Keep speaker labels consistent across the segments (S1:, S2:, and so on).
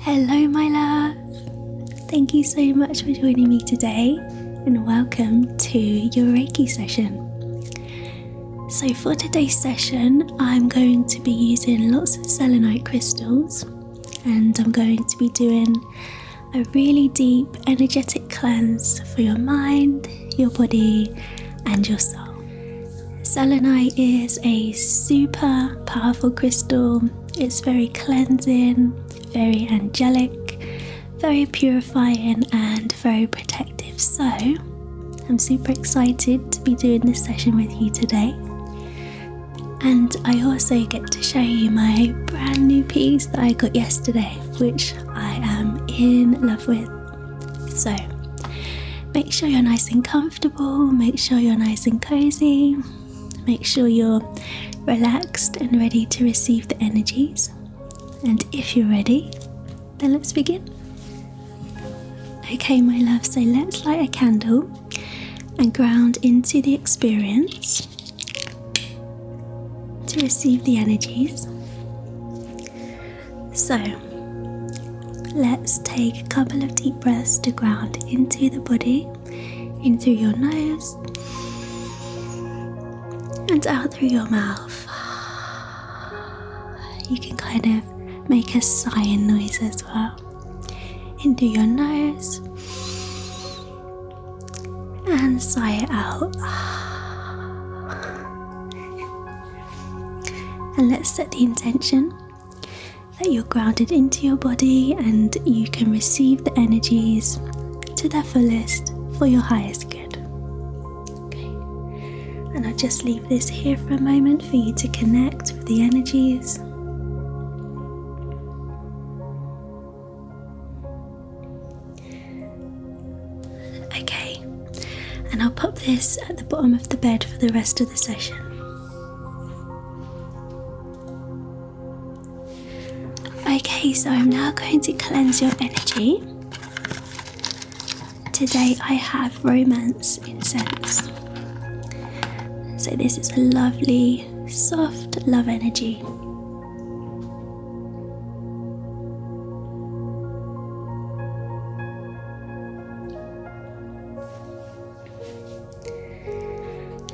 S1: Hello, my love. Thank you so much for joining me today, and welcome to your Reiki session. So, for today's session, I'm going to be using lots of selenite crystals, and I'm going to be doing a really deep energetic cleanse for your mind, your body, and your soul. Selenite is a super powerful crystal. It's very cleansing, very angelic, very purifying, and very protective. So, I'm super excited to be doing this session with you today. And I also get to show you my brand new piece that I got yesterday, which I am in love with. So make sure you're nice and comfortable, make sure you're nice and cozy, make sure you're relaxed and ready to receive the energies. And if you're ready, then let's begin. Okay, my love, so let's light a candle and ground into the experience to receive the energies. So, let's take a couple of deep breaths to ground into the body, in through your nose, and out through your mouth. You can kind of make a sighing noise as well. into your nose and sigh it out. And let's set the intention that you're grounded into your body and you can receive the energies to their fullest for your highest good. Okay. And I'll just leave this here for a moment for you to connect with the energies. Okay, and I'll pop this at the bottom of the bed for the rest of the session. Okay, so I'm now going to cleanse your energy. Today I have romance incense. So, this is a lovely, soft love energy.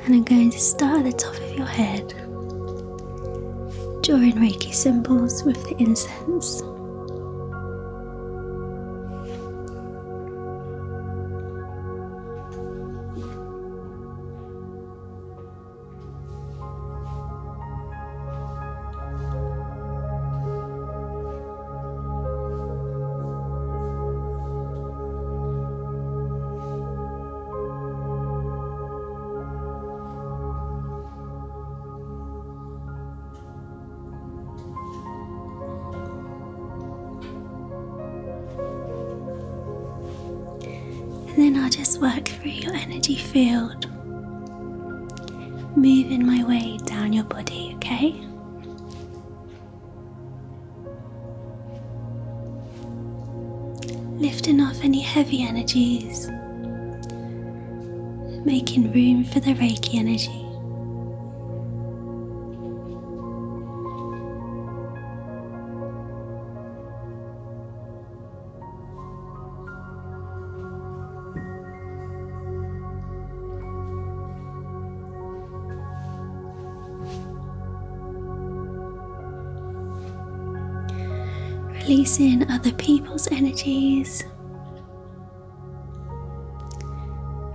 S1: And I'm going to start at the top of your head, drawing Reiki symbols with the incense. And then I'll just work through your energy field Moving my way down your body, okay? Lifting off any heavy energies, making room for the Reiki energy. Releasing other people's energies,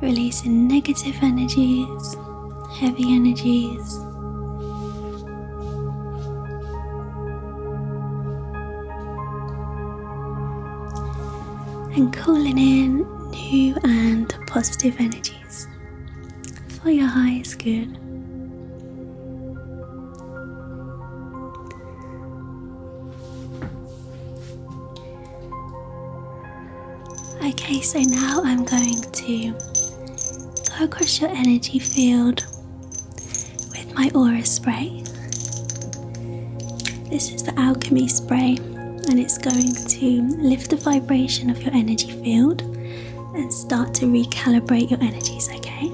S1: releasing negative energies, heavy energies and calling in new and positive energies for your highest good. Okay, so now I'm going to go across your energy field with my aura spray. This is the alchemy spray, and it's going to lift the vibration of your energy field and start to recalibrate your energies, okay?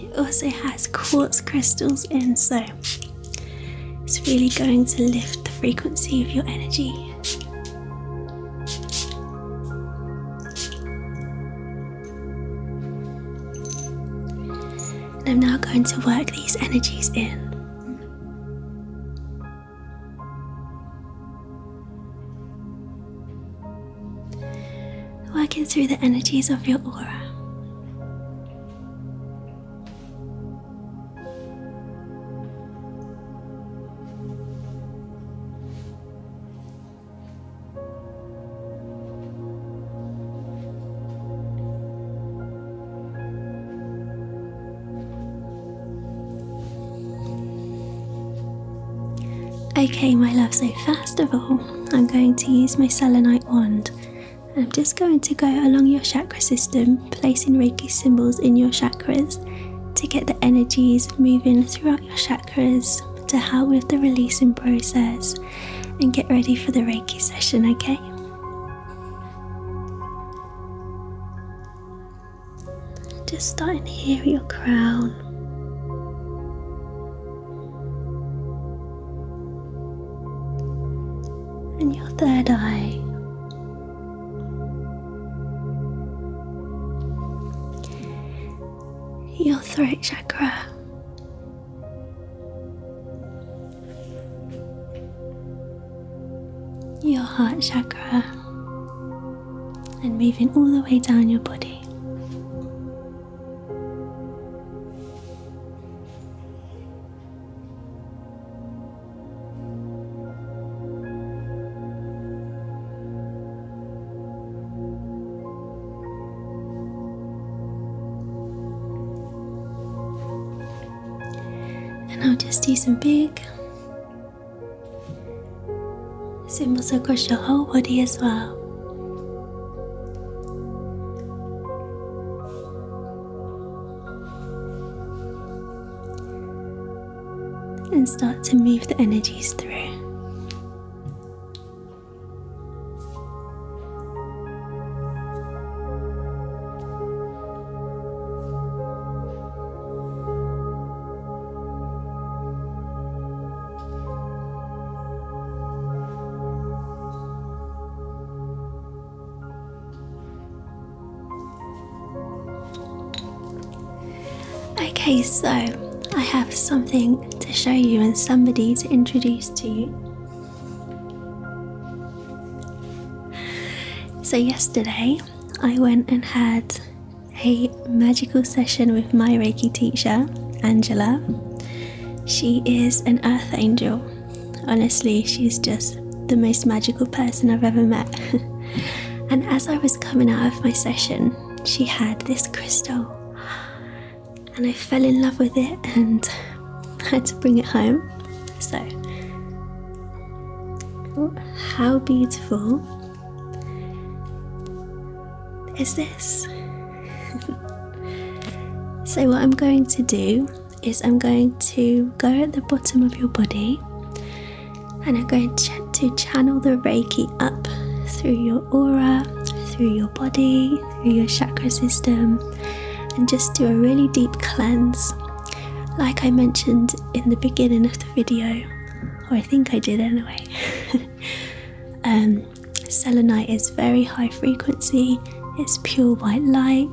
S1: It also has quartz crystals in, so it's really going to lift the frequency of your energy. And I'm now going to work these energies in. Working through the energies of your aura. Okay, my love, so first of all, I'm going to use my selenite wand. I'm just going to go along your chakra system, placing Reiki symbols in your chakras to get the energies moving throughout your chakras to help with the releasing process and get ready for the Reiki session, okay? Just starting here at your crown and your third eye. Your throat chakra. Your heart chakra and moving all the way down your body. And I'll just do some big your whole body as well. And start to move the energies through. Okay, so I have something to show you and somebody to introduce to you. So, yesterday I went and had a magical session with my Reiki teacher, Angela. She is an earth angel. Honestly, she's just the most magical person I've ever met. and as I was coming out of my session, she had this crystal. And I fell in love with it and had to bring it home. So, how beautiful is this. so, what I'm going to do is I'm going to go at the bottom of your body and I'm going to channel the Reiki up through your aura, through your body, through your chakra system, and just do a really deep cleanse. Like I mentioned in the beginning of the video, or I think I did anyway. um, selenite is very high frequency, it's pure white light,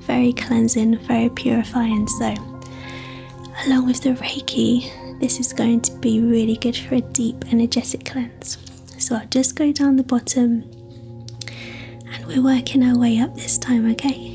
S1: very cleansing, very purifying. So, along with the Reiki, this is going to be really good for a deep energetic cleanse. So, I'll just go down the bottom and we're working our way up this time, okay?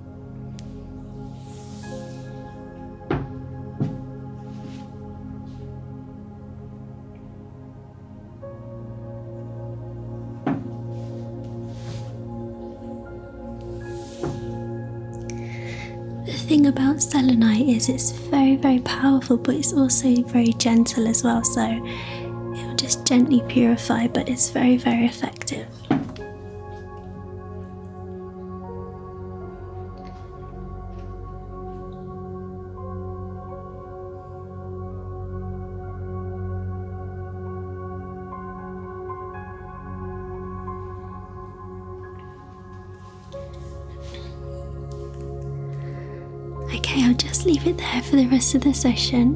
S1: The thing about selenite is it's very, very powerful, but it's also very gentle as well. So it'll just gently purify, but it's very, very effective. Okay, I'll just leave it there for the rest of the session.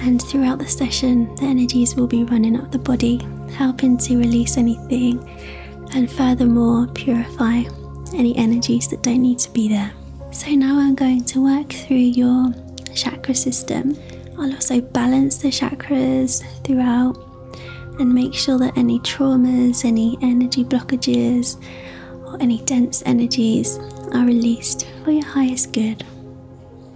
S1: And throughout the session, the energies will be running up the body, helping to release anything and furthermore purify any energies that don't need to be there. So now I'm going to work through your chakra system. I'll also balance the chakras throughout and make sure that any traumas, any energy blockages, or any dense energies are released for your highest good.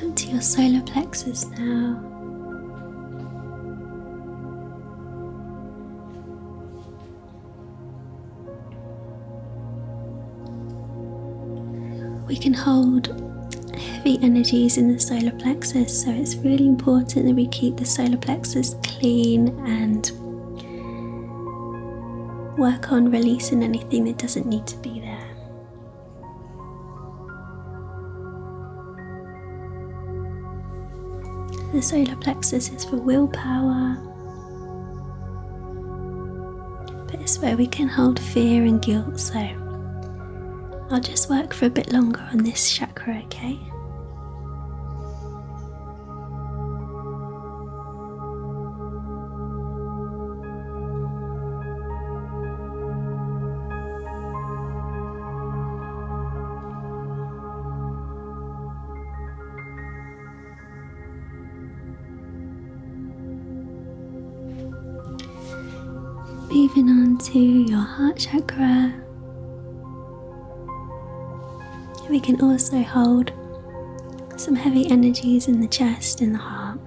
S1: And to your solar plexus now. We can hold heavy energies in the solar plexus. So it's really important that we keep the solar plexus clean and work on releasing anything that doesn't need to be there. The solar plexus is for willpower, but it's where we can hold fear and guilt. So I'll just work for a bit longer on this chakra, okay? Moving on your heart chakra, we can also hold some heavy energies in the chest and the heart.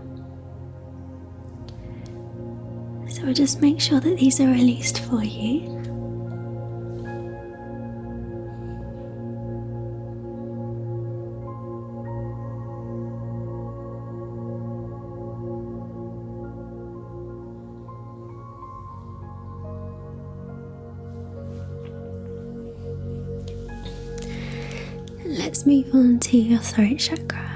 S1: So we'll just make sure that these are released for you. Let's move on to your throat chakra.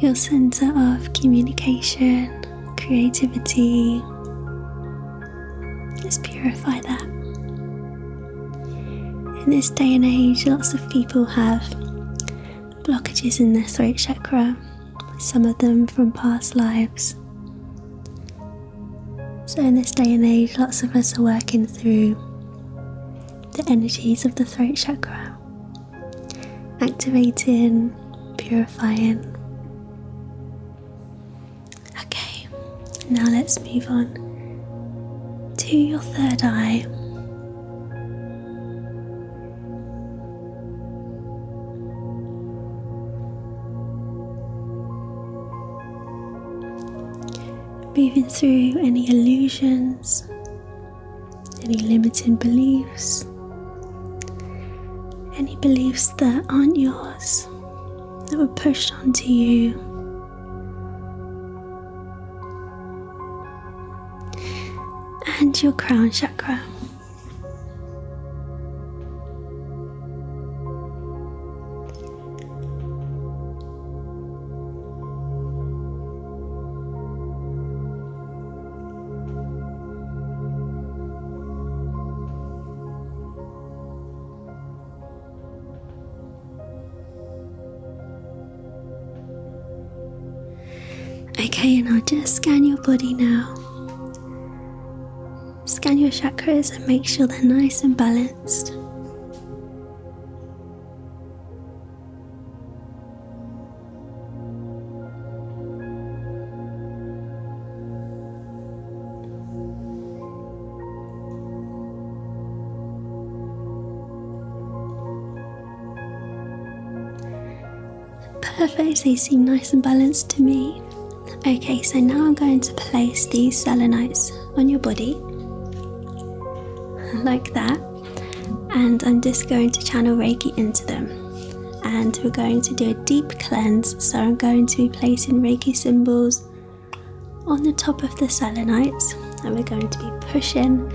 S1: your center of communication, creativity, Let's purify that. In this day and age, lots of people have blockages in their throat chakra, some of them from past lives. So, in this day and age, lots of us are working through the energies of the throat chakra, activating, purifying. Okay, now let's move on to your third eye. Moving through any illusions, any limiting beliefs, any beliefs that aren't yours that were pushed onto you. And your crown chakra. Okay, and I'll just scan your body now. Scan your chakras and make sure they're nice and balanced. Perfect, they seem nice and balanced to me. Okay, so now I'm going to place these selenites on your body like that, and I'm just going to channel Reiki into them. And we're going to do a deep cleanse, so I'm going to placing Reiki symbols on the top of the selenites, and we're going to be pushing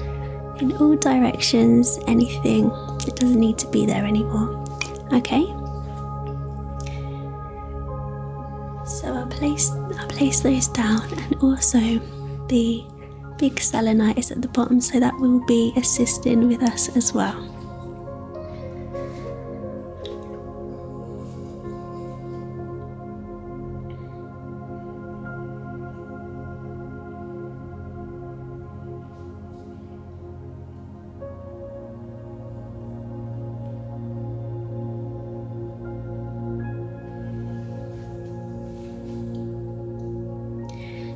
S1: in all directions anything that doesn't need to be there anymore. Okay. So I'll place i place those down, and also the big selenite is at the bottom, so that will be assisting with us as well.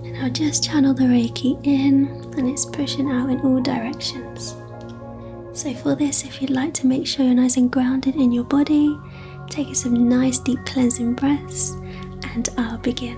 S1: And I'll just channel the Reiki in and it's pushing out in all directions. So, for this, if you'd like to make sure you're nice and grounded in your body, take some nice deep cleansing breaths, and I'll begin.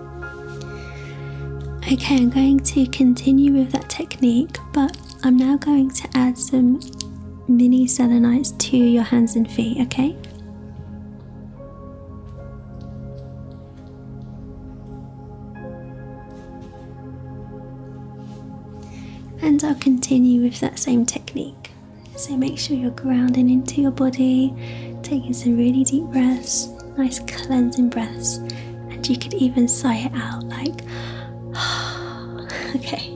S1: Okay, I'm going to continue with that technique, but I'm now going to add some mini selenites to your hands and feet, okay? And I'll continue with that same technique. So make sure you're grounding into your body, taking some really deep breaths nice cleansing breaths, and you could even sigh it out like, okay.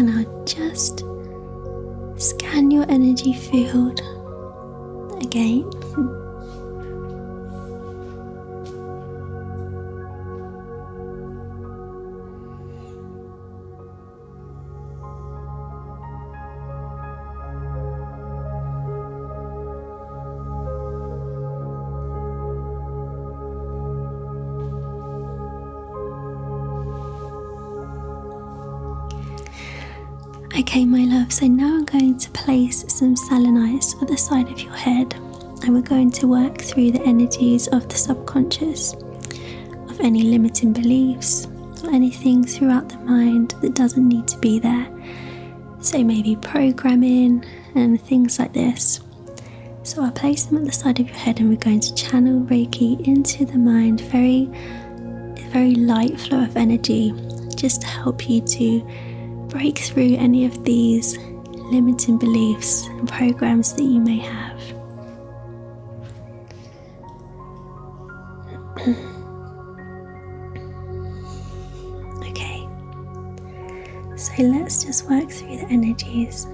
S1: And I'll just scan your energy field again. Okay, my love, so now I'm going to place some selenites at the side of your head, and we're going to work through the energies of the subconscious, of any limiting beliefs, or anything throughout the mind that doesn't need to be there so maybe programming and things like this. So I place them at the side of your head, and we're going to channel Reiki into the mind, very, very light flow of energy, just to help you to break through any of these limiting beliefs and programs that you may have. Okay, so let's just work through the energies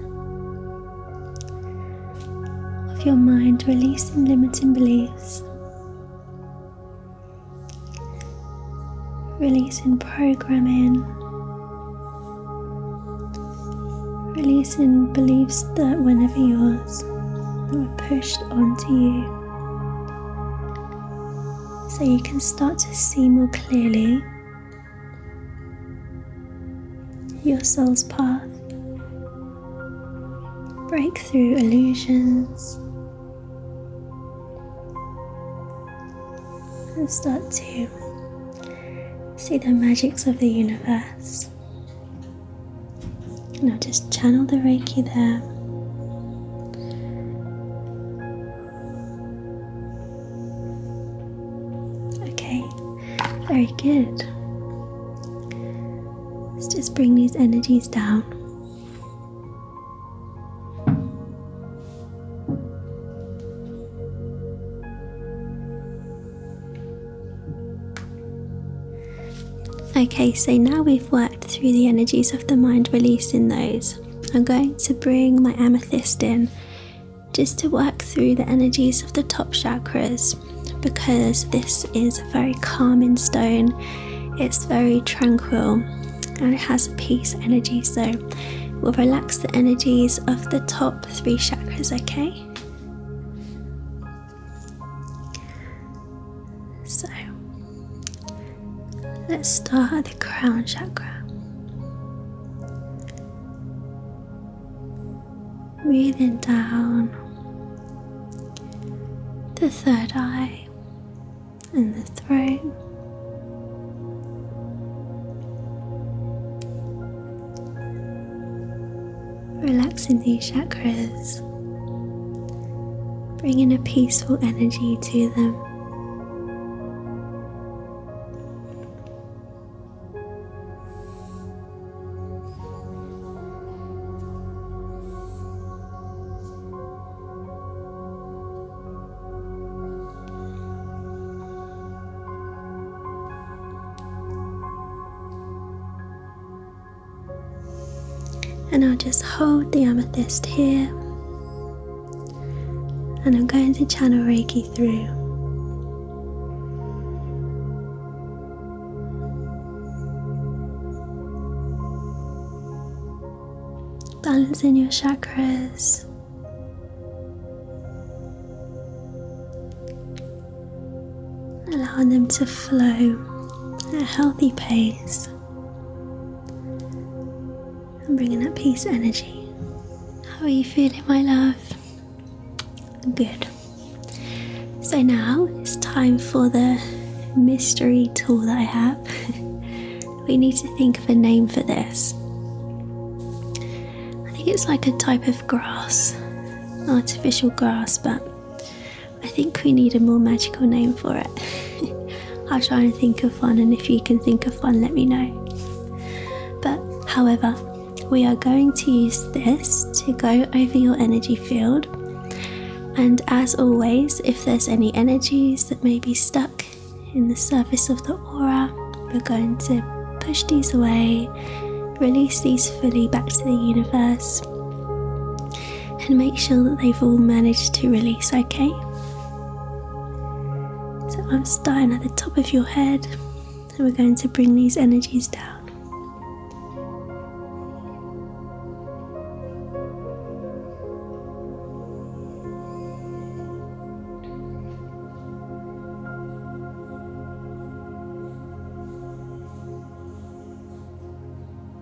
S1: of your mind, releasing limiting beliefs, releasing programming, releasing beliefs that were never yours that were pushed onto you so you can start to see more clearly your soul's path. Break through illusions and start to see the magics of the universe. And I'll just channel the Reiki there Okay, very good. Let's just bring these energies down. Okay, so now we've worked through the energies of the mind, releasing those. I'm going to bring my amethyst in just to work through the energies of the top chakras because this is a very calming stone, it's very tranquil and it has a peace energy. So we'll relax the energies of the top three chakras, okay? So let's start the crown chakra. Breathing down the third eye and the throat. Relaxing these chakras, bringing a peaceful energy to them. And I'll just hold the amethyst here and I'm going to channel Reiki through. Balancing your chakras. Allowing them to flow at a healthy pace. I'm bringing that peace energy. How are you feeling, my love? Good. So now it's time for the mystery tool that I have. we need to think of a name for this. I think it's like a type of grass, artificial grass, but I think we need a more magical name for it. I'll try and think of one, and if you can think of one, let me know. But however, we are going to use this to go over your energy field. And as always, if there's any energies that may be stuck in the surface of the aura, we're going to push these away, release these fully back to the universe and make sure that they've all managed to release, okay? So I'm starting at the top of your head and we're going to bring these energies down.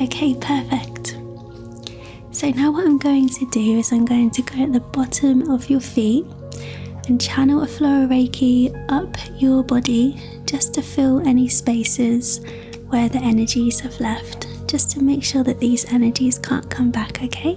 S1: Okay, perfect. So now what I'm going to do is I'm going to go at the bottom of your feet and channel a flow of Reiki up your body just to fill any spaces where the energies have left, just to make sure that these energies can't come back, okay?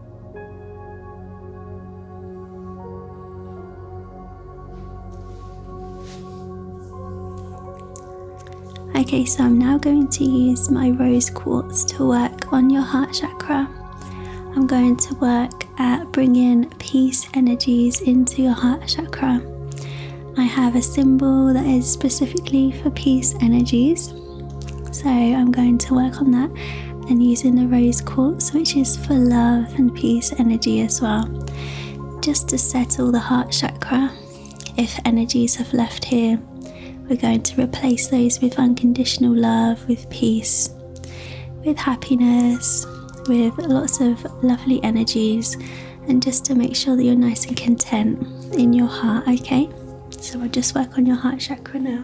S1: Okay, so I'm now going to use my rose quartz to work on your heart chakra. I'm going to work at bringing peace energies into your heart chakra. I have a symbol that is specifically for peace energies. So I'm going to work on that and using the rose quartz, which is for love and peace energy as well, just to settle the heart chakra. If energies have left here, we're going to replace those with unconditional love, with peace, with happiness, with lots of lovely energies, and just to make sure that you're nice and content in your heart, okay? So we'll just work on your heart chakra now.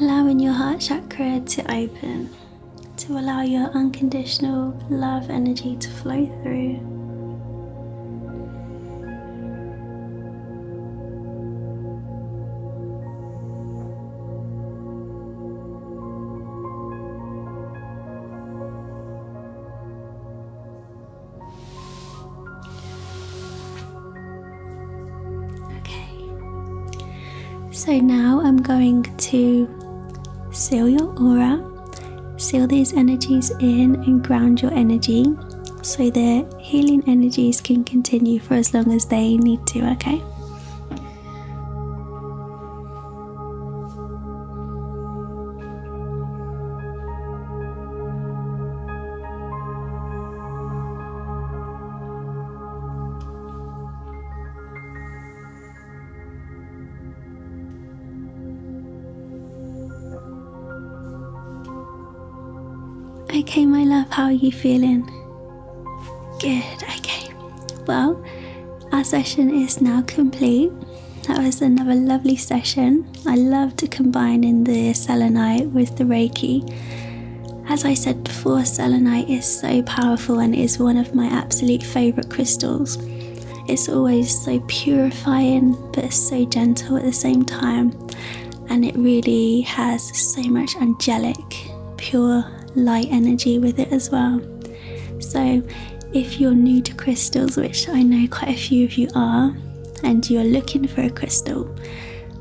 S1: Allowing your heart chakra to open to allow your unconditional love energy to flow through. So now I'm going to seal your aura, seal these energies in and ground your energy so that healing energies can continue for as long as they need to, okay? Okay, my love, how are you feeling? Good, okay. Well, our session is now complete. That was another lovely session. I love to combine in the selenite with the Reiki. As I said before, selenite is so powerful and is one of my absolute favourite crystals. It's always so purifying but so gentle at the same time and it really has so much angelic, pure light energy with it as well. So, if you're new to crystals, which I know quite a few of you are, and you're looking for a crystal,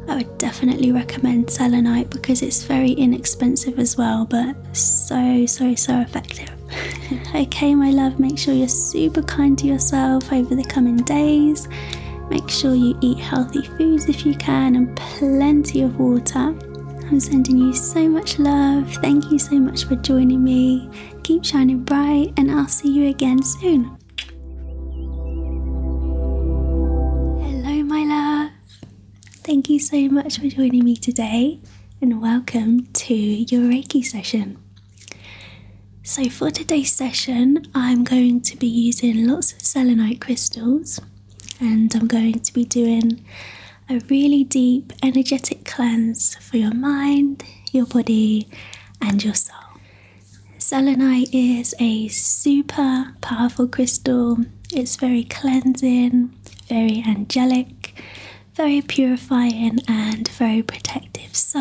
S1: I would definitely recommend selenite because it's very inexpensive as well, but so, so, so effective. okay, my love, make sure you're super kind to yourself over the coming days. Make sure you eat healthy foods if you can, and plenty of water. I'm sending you so much love. Thank you so much for joining me. Keep shining bright, and I'll see you again soon. Hello, my love. Thank you so much for joining me today, and welcome to your Reiki session. So, for today's session, I'm going to be using lots of selenite crystals and I'm going to be doing a really deep energetic cleanse for your mind, your body, and your soul. Selenite is a super powerful crystal, it's very cleansing, very angelic, very purifying, and very protective. So,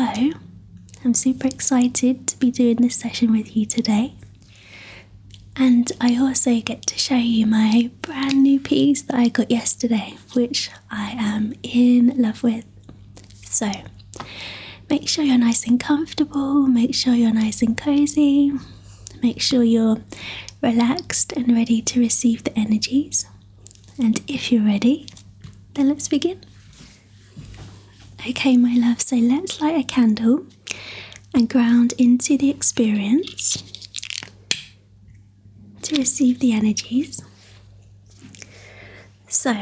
S1: I'm super excited to be doing this session with you today. And I also get to show you my brand new piece that I got yesterday, which I am in love with. So make sure you're nice and comfortable, make sure you're nice and cozy, make sure you're relaxed and ready to receive the energies. And if you're ready, then let's begin. Okay, my love, so let's light a candle and ground into the experience to receive the energies. So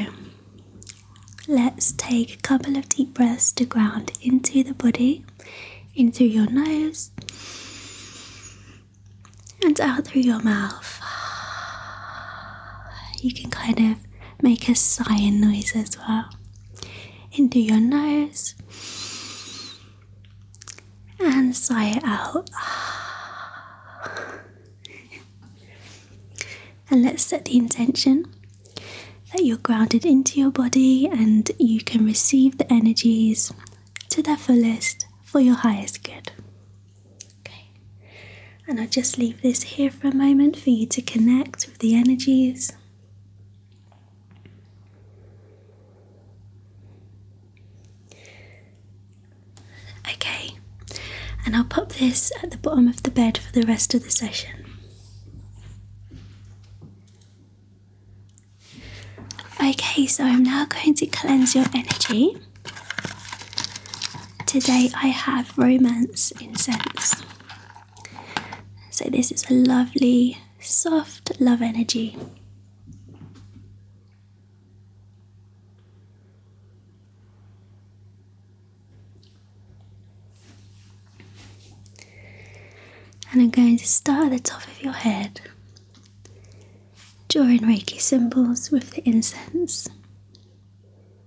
S1: let's take a couple of deep breaths to ground into the body, in through your nose and out through your mouth. You can kind of make a sighing noise as well into your nose and sigh it out. and let's set the intention that you're grounded into your body and you can receive the energies to their fullest for your highest good. Okay, and I'll just leave this here for a moment for you to connect with the energies. Okay, and I'll pop this at the bottom of the bed for the rest of the session. Okay, so I'm now going to cleanse your energy. Today I have romance incense. So, this is a lovely, soft love energy. And I'm going to start at the top of your head, drawing Reiki symbols with the incense.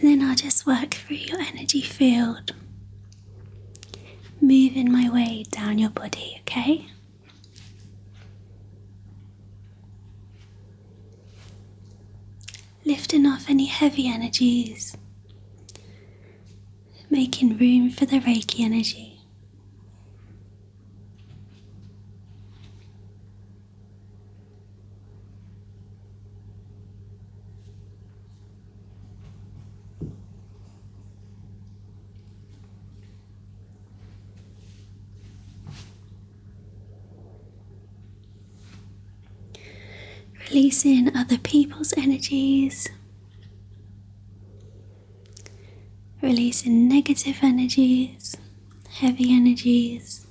S1: And then I'll just work through your energy field, moving my way down your body, okay? Lifting off any heavy energies, making room for the Reiki energy. Releasing other people's energies releasing negative energies, heavy energies.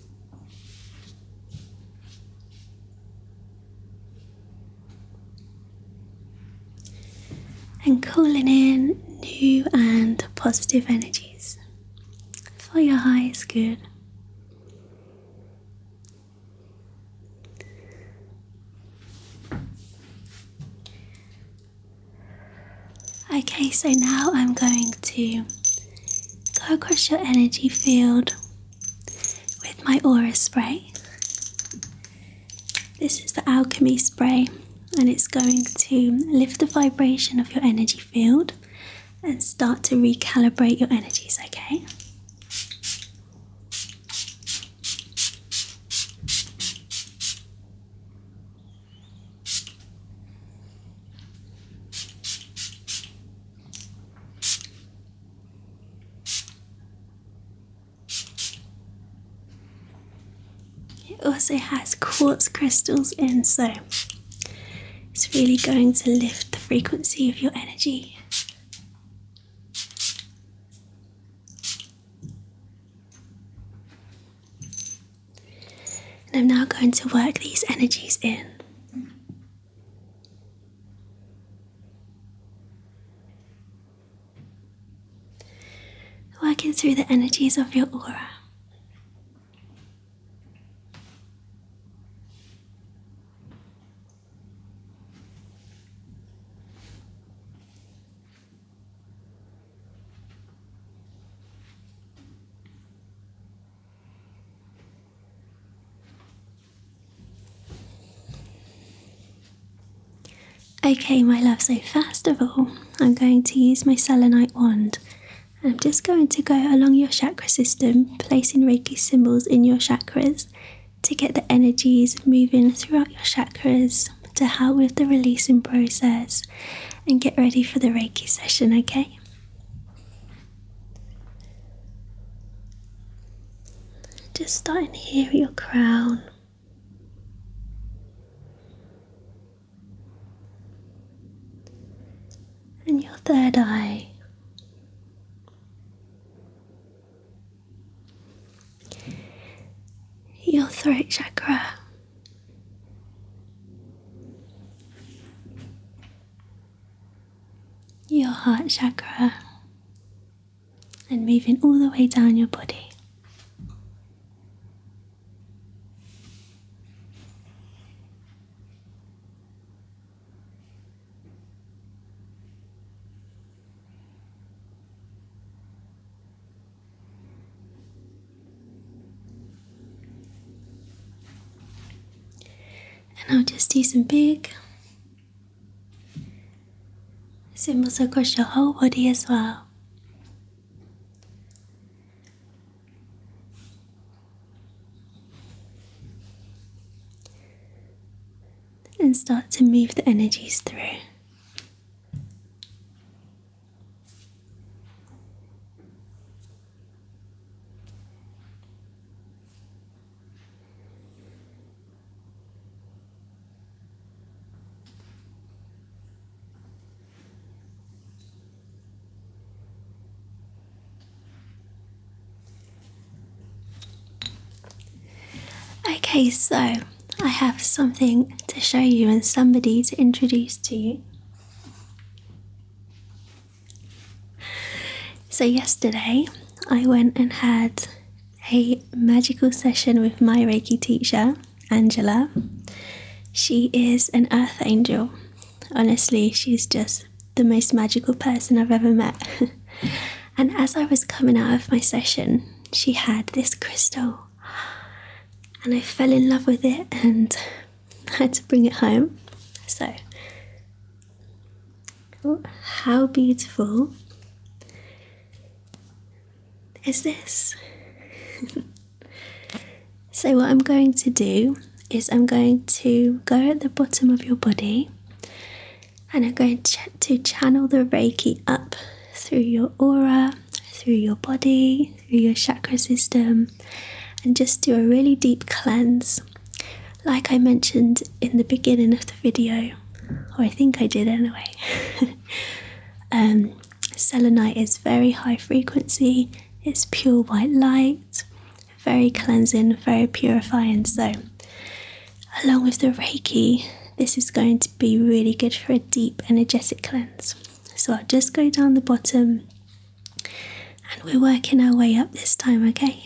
S1: And calling in new and positive energies for your highest good. Okay, so now I'm going to go across your energy field with my aura spray. This is the alchemy spray, and it's going to lift the vibration of your energy field and start to recalibrate your energies, okay? It also has quartz crystals in, so it's really going to lift the frequency of your energy. And I'm now going to work these energies in. Working through the energies of your aura. Okay, my love, so first of all, I'm going to use my selenite wand. I'm just going to go along your chakra system, placing Reiki symbols in your chakras to get the energies moving throughout your chakras to help with the releasing process and get ready for the Reiki session, okay? Just starting here at your crown. And your third eye. Your throat chakra, your heart chakra and moving all the way down your body. And I'll just do some big symbols across your whole body as well. And start to move the energies through. Okay, so I have something to show you and somebody to introduce to you. So, yesterday I went and had a magical session with my Reiki teacher, Angela. She is an earth angel. Honestly, she's just the most magical person I've ever met. and as I was coming out of my session, she had this crystal and I fell in love with it and had to bring it home. So, oh, how beautiful is this? so, what I'm going to do is I'm going to go at the bottom of your body and I'm going to channel the Reiki up through your aura through your body, through your chakra system, and just do a really deep cleanse. Like I mentioned in the beginning of the video, or I think I did anyway, um, selenite is very high frequency, it's pure white light, very cleansing, very purifying. So, along with the Reiki, this is going to be really good for a deep energetic cleanse so I'll just go down the bottom and we're working our way up this time, okay?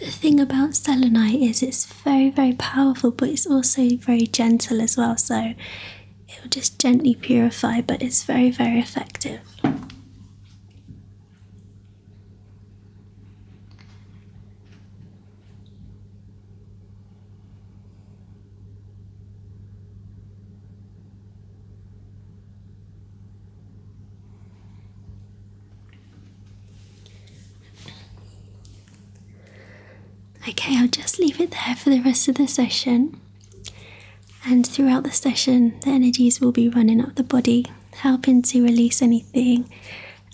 S1: The thing about selenite is it's very, very powerful, but it's also very gentle as well, so it'll just gently purify, but it's very, very effective. Okay, I'll just leave it there for the rest of the session. And throughout the session, the energies will be running up the body, helping to release anything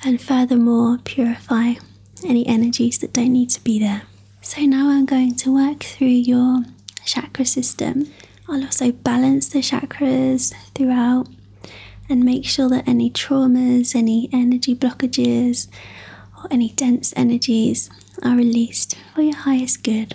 S1: and furthermore purify any energies that don't need to be there. So now I'm going to work through your chakra system. I'll also balance the chakras throughout and make sure that any traumas, any energy blockages, or any dense energies are released for your highest good.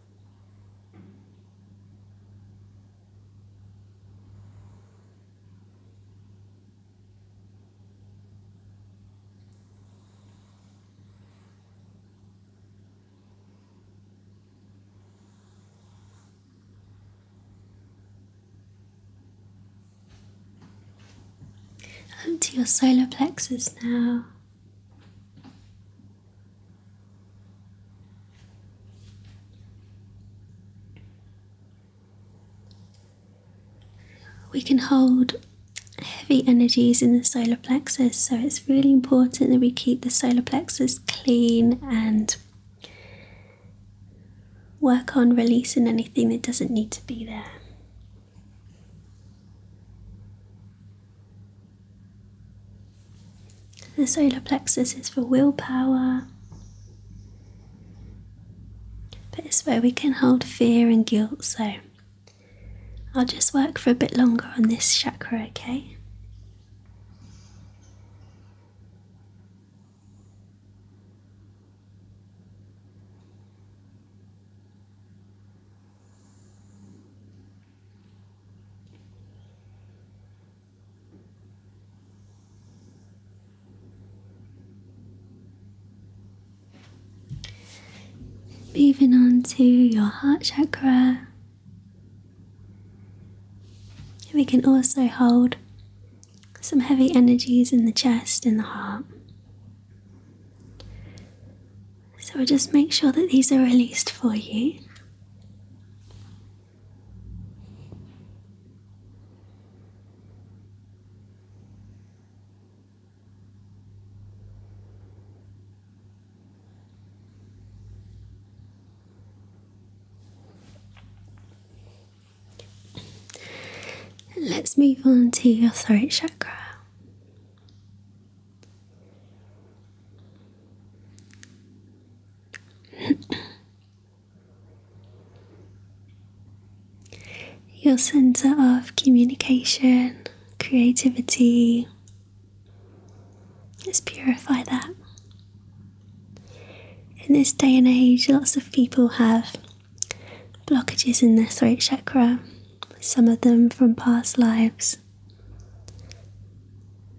S1: And to your solar plexus now. We can hold heavy energies in the solar plexus, so it's really important that we keep the solar plexus clean and work on releasing anything that doesn't need to be there. The solar plexus is for willpower, but it's where we can hold fear and guilt. So I'll just work for a bit longer on this chakra, okay? Moving on to your heart chakra, we can also hold some heavy energies in the chest and the heart. So we'll just make sure that these are released for you. Let's move on to your throat chakra. Your center of communication, creativity. Let's purify that. In this day and age, lots of people have blockages in their throat chakra, some of them from past lives.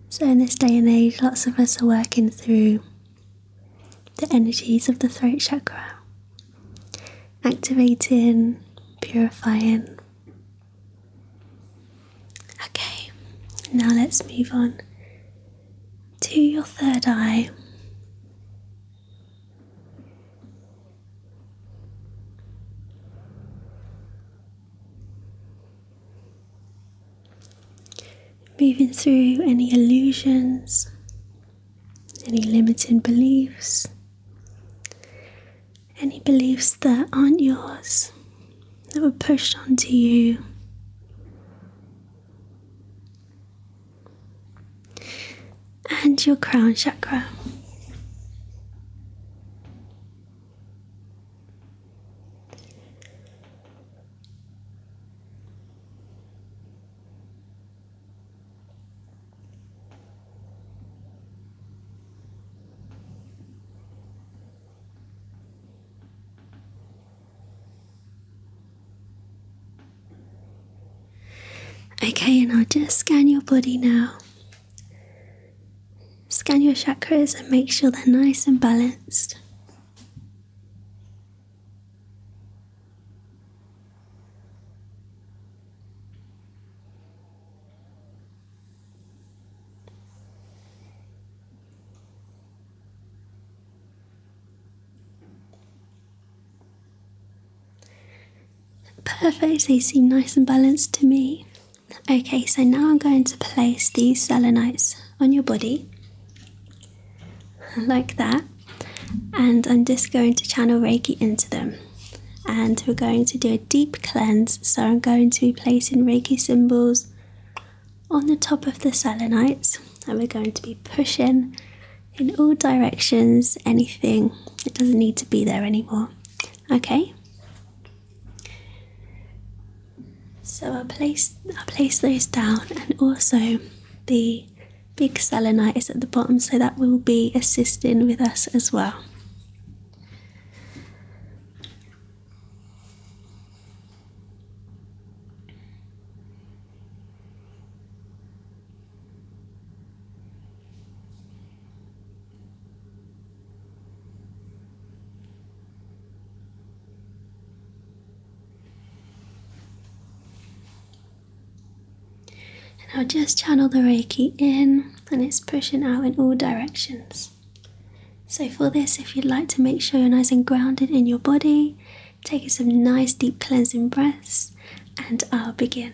S1: So, in this day and age, lots of us are working through the energies of the throat chakra, activating, purifying. Okay, now let's move on to your third eye. Moving through any illusions, any limiting beliefs, any beliefs that aren't yours, that were pushed onto you. And your crown chakra. Okay, and I'll just scan your body now. Scan your chakras and make sure they're nice and balanced. Perfect, they seem nice and balanced to me. Okay, so now I'm going to place these selenites on your body. like that. And I'm just going to channel Reiki into them. And we're going to do a deep cleanse. So I'm going to be placing Reiki symbols on the top of the selenites. And we're going to be pushing in all directions anything that doesn't need to be there anymore. Okay? So I place I place those down, and also the big selenite is at the bottom, so that will be assisting with us as well. And I'll just channel the Reiki in and it's pushing out in all directions. So, for this, if you'd like to make sure you're nice and grounded in your body, take some nice deep cleansing breaths, and I'll begin.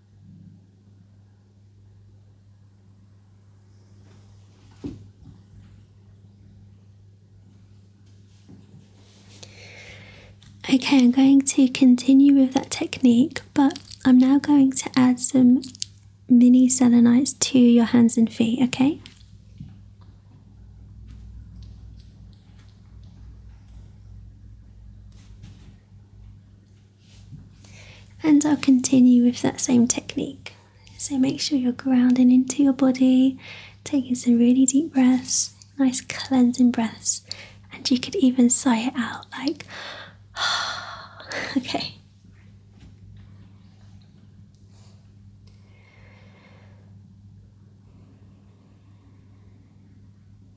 S1: Okay, I'm going to continue with that technique, but I'm now going to add some mini selenites to your hands and feet, okay? And I'll continue with that same technique. So make sure you're grounding into your body, taking some really deep breaths, nice cleansing breaths, and you could even sigh it out like, okay.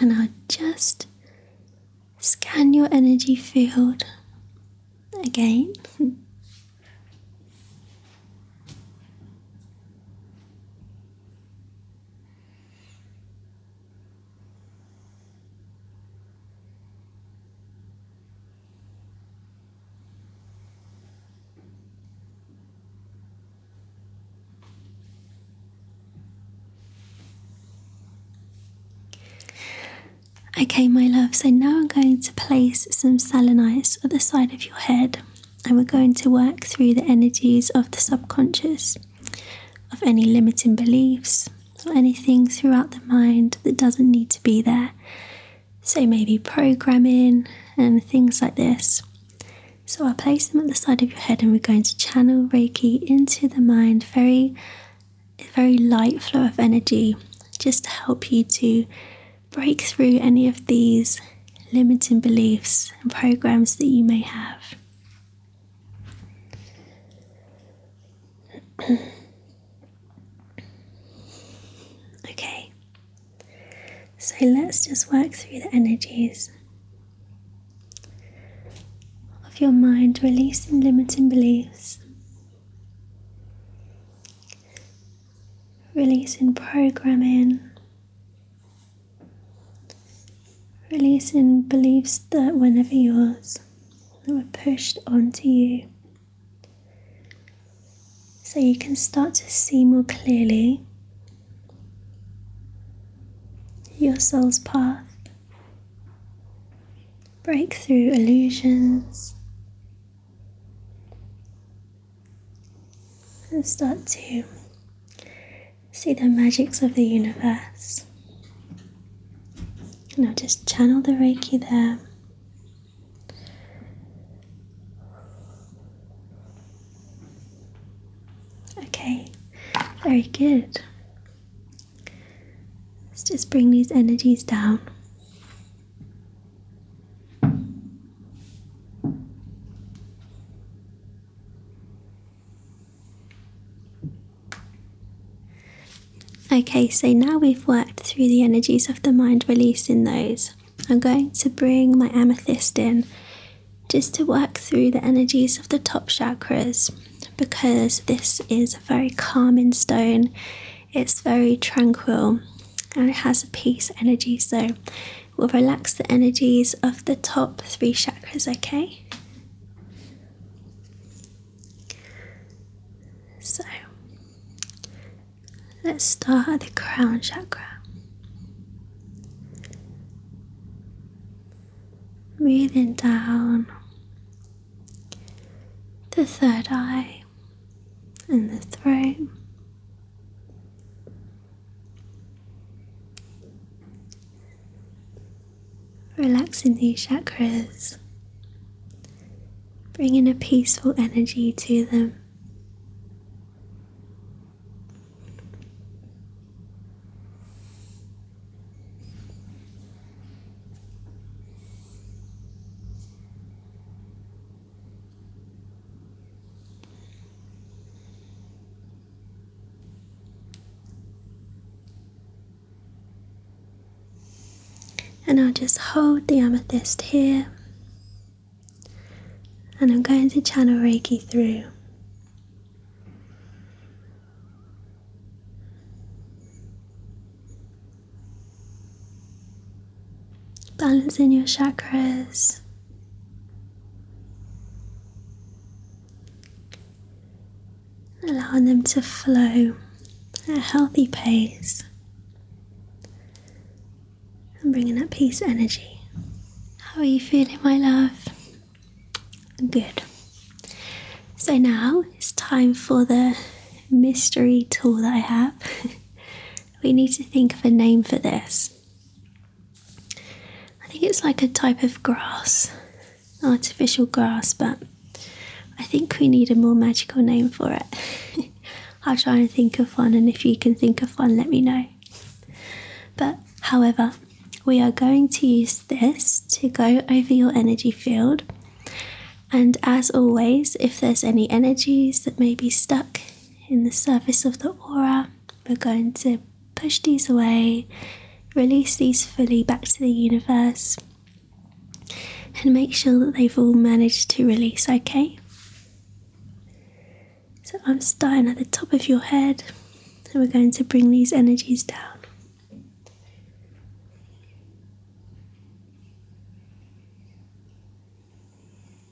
S1: And I'll just scan your energy field again Okay, my love. so now I'm going to place some selenites at the side of your head and we're going to work through the energies of the subconscious, of any limiting beliefs, or anything throughout the mind that doesn't need to be there. So, maybe programming and things like this. So, i place them at the side of your head and we're going to channel Reiki into the mind, very, very light flow of energy, just to help you to break through any of these limiting beliefs and programs that you may have. okay, so let's just work through the energies of your mind, releasing limiting beliefs releasing programming, releasing beliefs that were never yours, that were pushed onto you. So you can start to see more clearly your soul's path, break through illusions, and start to see the magics of the universe. Now just channel the Reiki there. Okay, very good. Let's just bring these energies down. Okay, so now we've worked through the energies of the mind, releasing those. I'm going to bring my amethyst in just to work through the energies of the top chakras because this is a very calming stone, it's very tranquil and it has a peace energy. So we will relax the energies of the top three chakras, okay? So let's start at the crown chakra. Breathing down the third eye and the throat, Relaxing these chakras, bringing a peaceful energy to them. And I'll just hold the amethyst here, and I'm going to channel Reiki through. Balancing your chakras allowing them to flow at a healthy pace and bringing that peace energy. How are you feeling, my love? Good. So now it's time for the mystery tool that I have. we need to think of a name for this. I think it's like a type of grass, artificial grass, but I think we need a more magical name for it. I'll try and think of one, and if you can think of one, let me know. But however, we are going to use this to go over your energy field. And as always, if there's any energies that may be stuck in the surface of the aura, we're going to push these away, release these fully back to the universe, and make sure that they've all managed to release, okay? So I'm starting at the top of your head, and we're going to bring these energies down.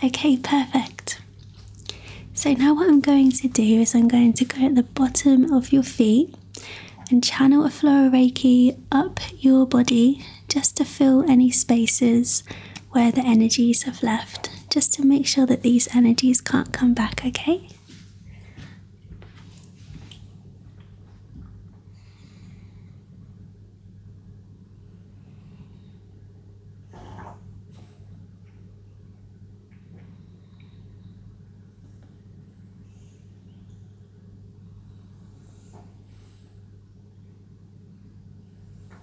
S1: Okay, perfect. So now what I'm going to do is I'm going to go at the bottom of your feet and channel a flow of Reiki up your body just to fill any spaces where the energies have left, just to make sure that these energies can't come back, okay?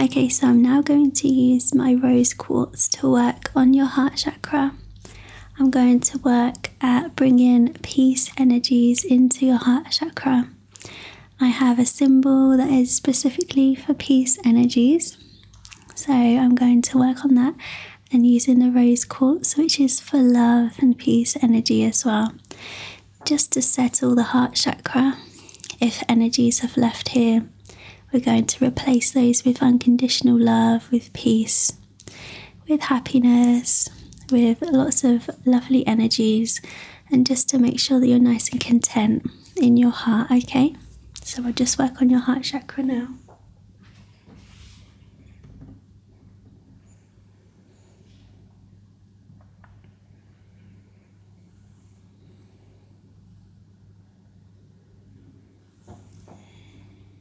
S1: Okay, so I'm now going to use my rose quartz to work on your heart chakra. I'm going to work at bringing peace energies into your heart chakra. I have a symbol that is specifically for peace energies. So I'm going to work on that and using the rose quartz, which is for love and peace energy as well, just to settle the heart chakra. If energies have left here, we're going to replace those with unconditional love, with peace, with happiness, with lots of lovely energies, and just to make sure that you're nice and content in your heart, okay? So I'll just work on your heart chakra now.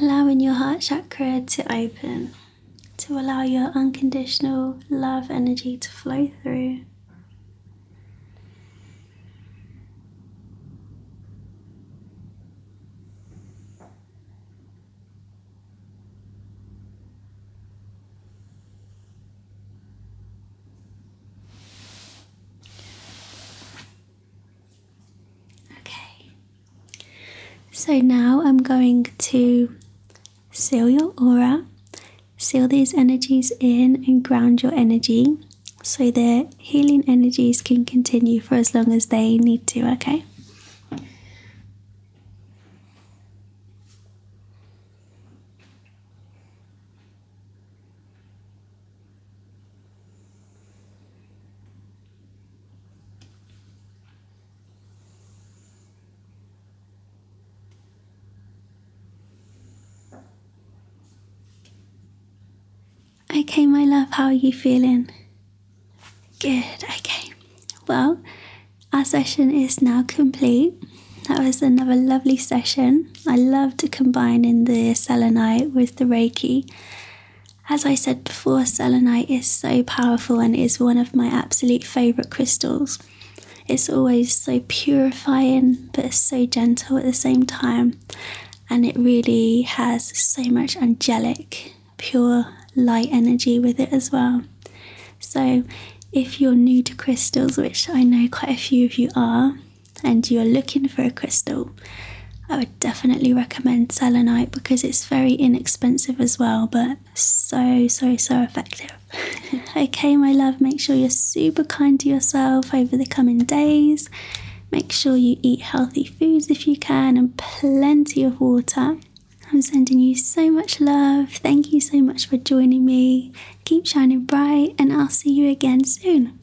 S1: Allowing your heart chakra to open to allow your unconditional love energy to flow through. Okay, so now I'm going to seal your aura, seal these energies in, and ground your energy so the healing energies can continue for as long as they need to, okay? Okay, my love, how are you feeling? Good, okay. Well, our session is now complete. That was another lovely session. I loved combining the selenite with the reiki. As I said before, selenite is so powerful and is one of my absolute favourite crystals. It's always so purifying but so gentle at the same time, and it really has so much angelic, pure light energy with it as well. So, if you're new to crystals, which I know quite a few of you are, and you're looking for a crystal, I would definitely recommend recommend selenite because it's very inexpensive as well, but so, so, so effective. okay, my love, make sure you're super kind to yourself over the coming days. Make sure you eat healthy foods if you can and plenty of water. I'm sending you so much love. Thank you so much for joining me. Keep shining bright, and I'll see you again soon.